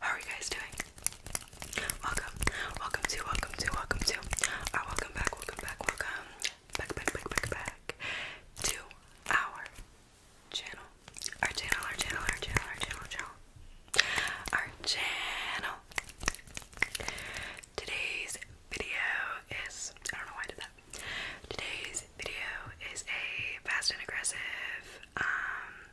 How are you guys doing? Welcome, welcome to, welcome to, welcome to, or uh, welcome back, welcome back, welcome back, back, back, back, back to our channel, our channel, our channel, our channel, our channel, channel, our channel. Today's video is, I don't know why I did that. Today's video is a fast and aggressive, um,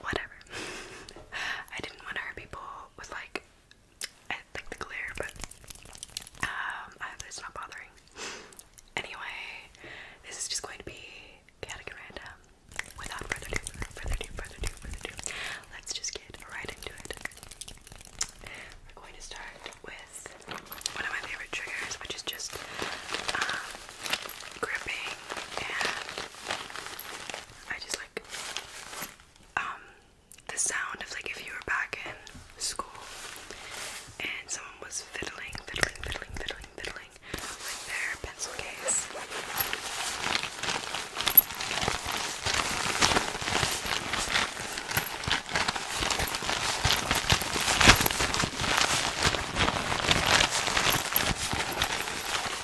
whatever. I didn't want to hurt people with like eh, I the glare, but um, I hope that's not bothering. Anyway, this is just going to be chaotic and random. Without further ado, further ado, further ado, further ado, let's just get right into it. We're going to start with one of my favorite triggers, which is just um, gripping and I just like um, the sound of like if you were back in school and someone was fiddling, fiddling, fiddling, fiddling, fiddling with their pencil case.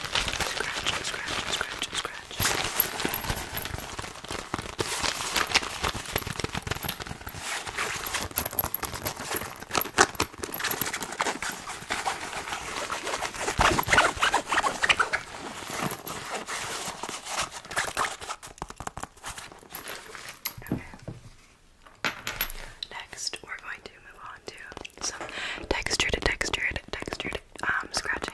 Scratch, scratch, scratch, scratch. Okay. Next, we're going to move on to some textured, textured, textured um, scratching.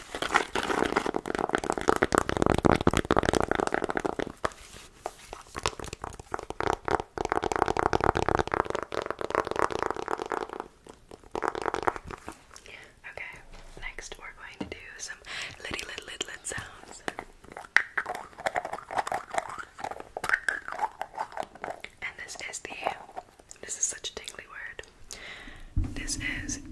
Okay, next we're going to do some litty lit lit sounds. And this is the this is such a tingly word. This is the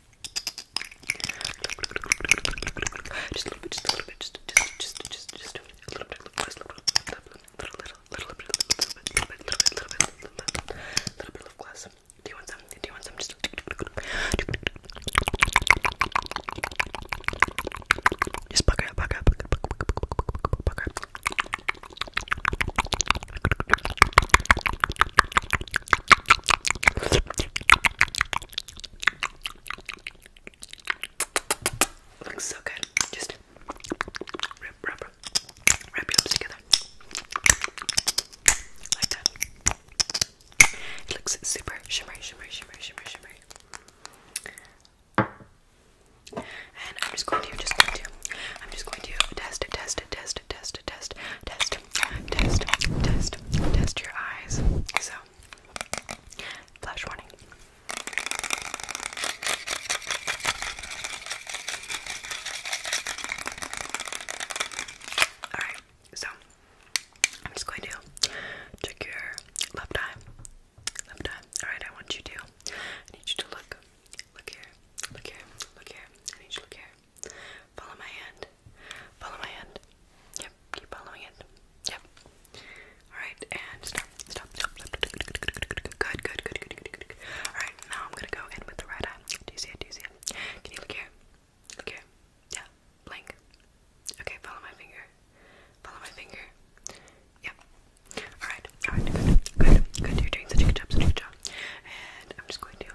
Just a little bit, just a little bit, just just just just just a little bit, little little bit, little bit, little bit, little bit, little bit, little bit, little bit of glass. Do you want some? Do you want some? Just just buck up, buck up, buck up, buck up. Looks so good. Just wrap, wrap, wrap your lips together. Like that. It looks super shimmery, shimmery, shimmery, shimmery, shimmery. And I'm just going to, just going to, I'm just going to test, test, test, test, test, test, test, test, test your eyes. So, flash warning. Alright, so I'm just going to check your left eye. Left eye. Alright, I want you to. I need you to look. Look here. Look here. Look here. I need you to look here. Follow my hand. Follow my hand. Yep, keep following it. Yep. Alright, and stop, stop, stop, stop. Good, good, good, good, good, good. Alright, now I'm gonna go in with the right eye. Do you see it? Do you see it? Can you look here? Look here. Yeah, blink. Okay, follow my finger. Follow my finger. Yep. Alright, alright, good, good, good. You're doing such a good job, such a good job. And I'm just going to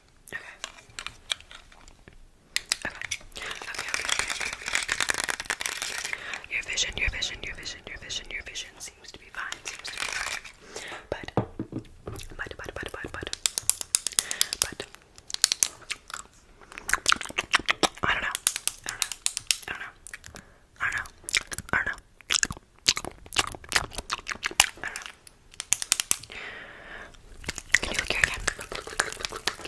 Okay. Okay. Okay, okay, okay, okay, okay. Your vision, your vision, your vision, your vision, your vision seems to be fine, seems to be fine. But, but, but, but, but, but, but, I don't know. I don't know. I don't know. I don't know. I don't know. I don't know. I don't know. Can you look here again? Can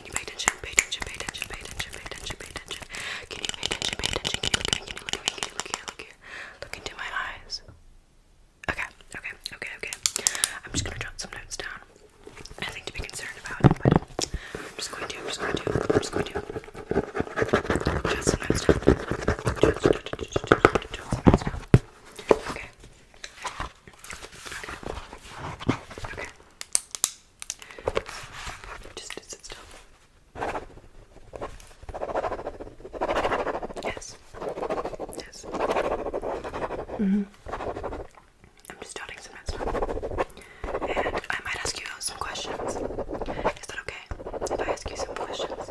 you pay attention? Pay attention, pay attention, pay attention, pay attention, Can you pay attention, Can you look at Can you look here? Look into my eyes. Okay, okay, okay, okay. I'm just gonna jot some notes down. Nothing to be concerned about, I'm just going to, I'm just going to, I'm just going to jot some notes down. Okay. Okay. Just sit still. Yes. Yes. Mm-hmm. I'm just jotting some notes, And I might ask you some questions. Is that okay? If I ask you some questions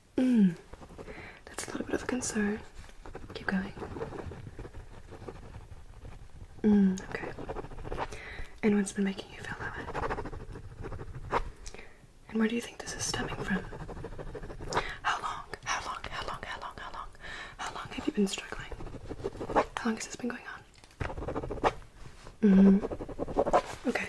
Mm. That's a little bit of a concern. Keep going. Mm, okay. And has been making you feel that way? And where do you think this is stemming from? How long? How long? How long? How long? How long? How long have you been struggling? How long has this been going on? Mm-hmm. Okay.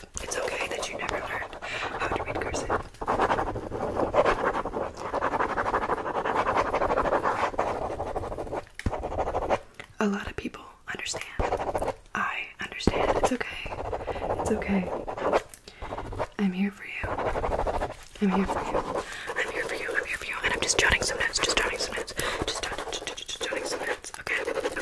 It's okay that you never learned how to read cursive. A lot of people understand. I understand. It's okay. It's okay. I'm here for you. I'm here for you. I'm here for you. I'm here for you. And I'm just jotting some notes. Just jotting some notes. Just jotting, just jotting some notes. Okay. Okay.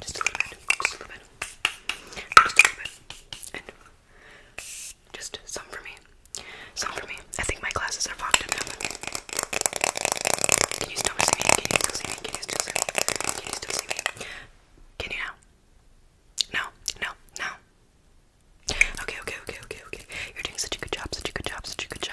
Just a little bit, just a little bit, just a little bit, and just some for me, some for me. I think my glasses are fogged up Can you still see me? Can you still see me? Can you still see me? Can you still see me? Can you now? No, no, no. Okay, okay, okay, okay, okay. You're doing such a good job, such a good job, such a good job.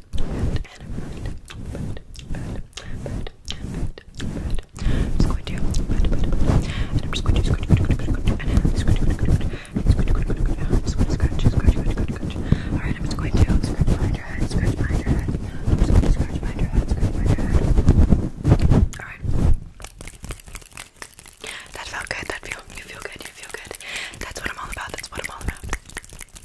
and and Alright, I'm just going to scratch behind your head, scratch behind your head. I'm just going to scratch behind your head, scratch behind your head. Alright. That felt good, that feel you feel good, you feel good. That's what I'm all about, that's what I'm all about.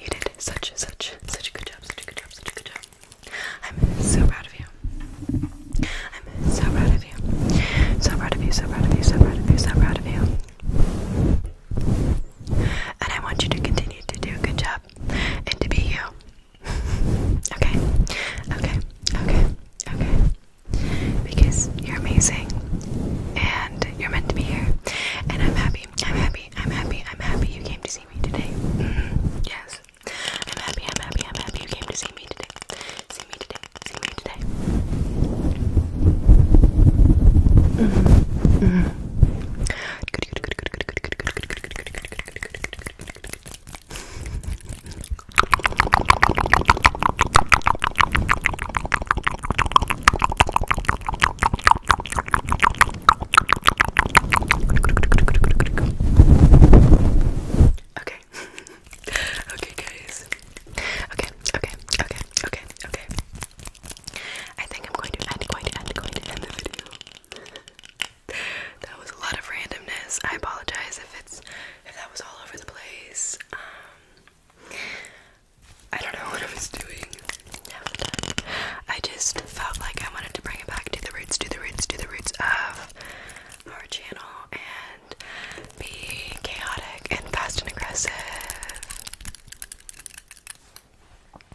you did such, such, such a good job, such a good job, such a good job. I'm so proud of you. I'm so proud of you. So proud of you, so proud of you, so proud of you, so proud of you. And I want you to continue to do a good job and to be you. okay? Okay, okay, okay. Because you're amazing. And you're meant to be here. And I'm happy, I'm happy, I'm happy, I'm happy you came to see me today. Mm-hmm. Yes. I'm happy, I'm happy, I'm happy came to see me today. See me today, see me today. Mm-hmm. Okay. okay, guys. Okay, okay, okay, okay, okay. I think I'm going to end, going to end, going to end the video. that was a lot of randomness. I apologize if it's if that was all over the place. Um I don't know what I was doing. I just felt like I wanted to bring it back to the roots, to the roots, to the roots of our channel and be chaotic and fast and aggressive.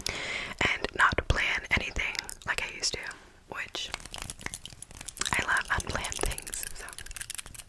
And not plan anything like I used to, which I love unplanned things, so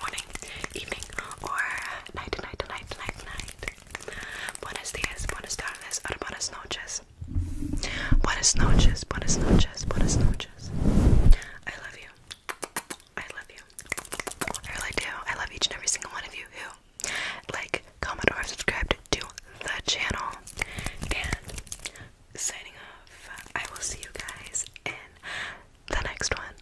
morning, evening, or night, night, night, night, night. Buenos dias, buenas tardes, or buenas noches. Buenas noches, buenas noches, buenas noches. I love you. I love you. I really do. I love each and every single one of you who like, comment, or subscribe to the channel. And signing off, I will see you guys in the next one.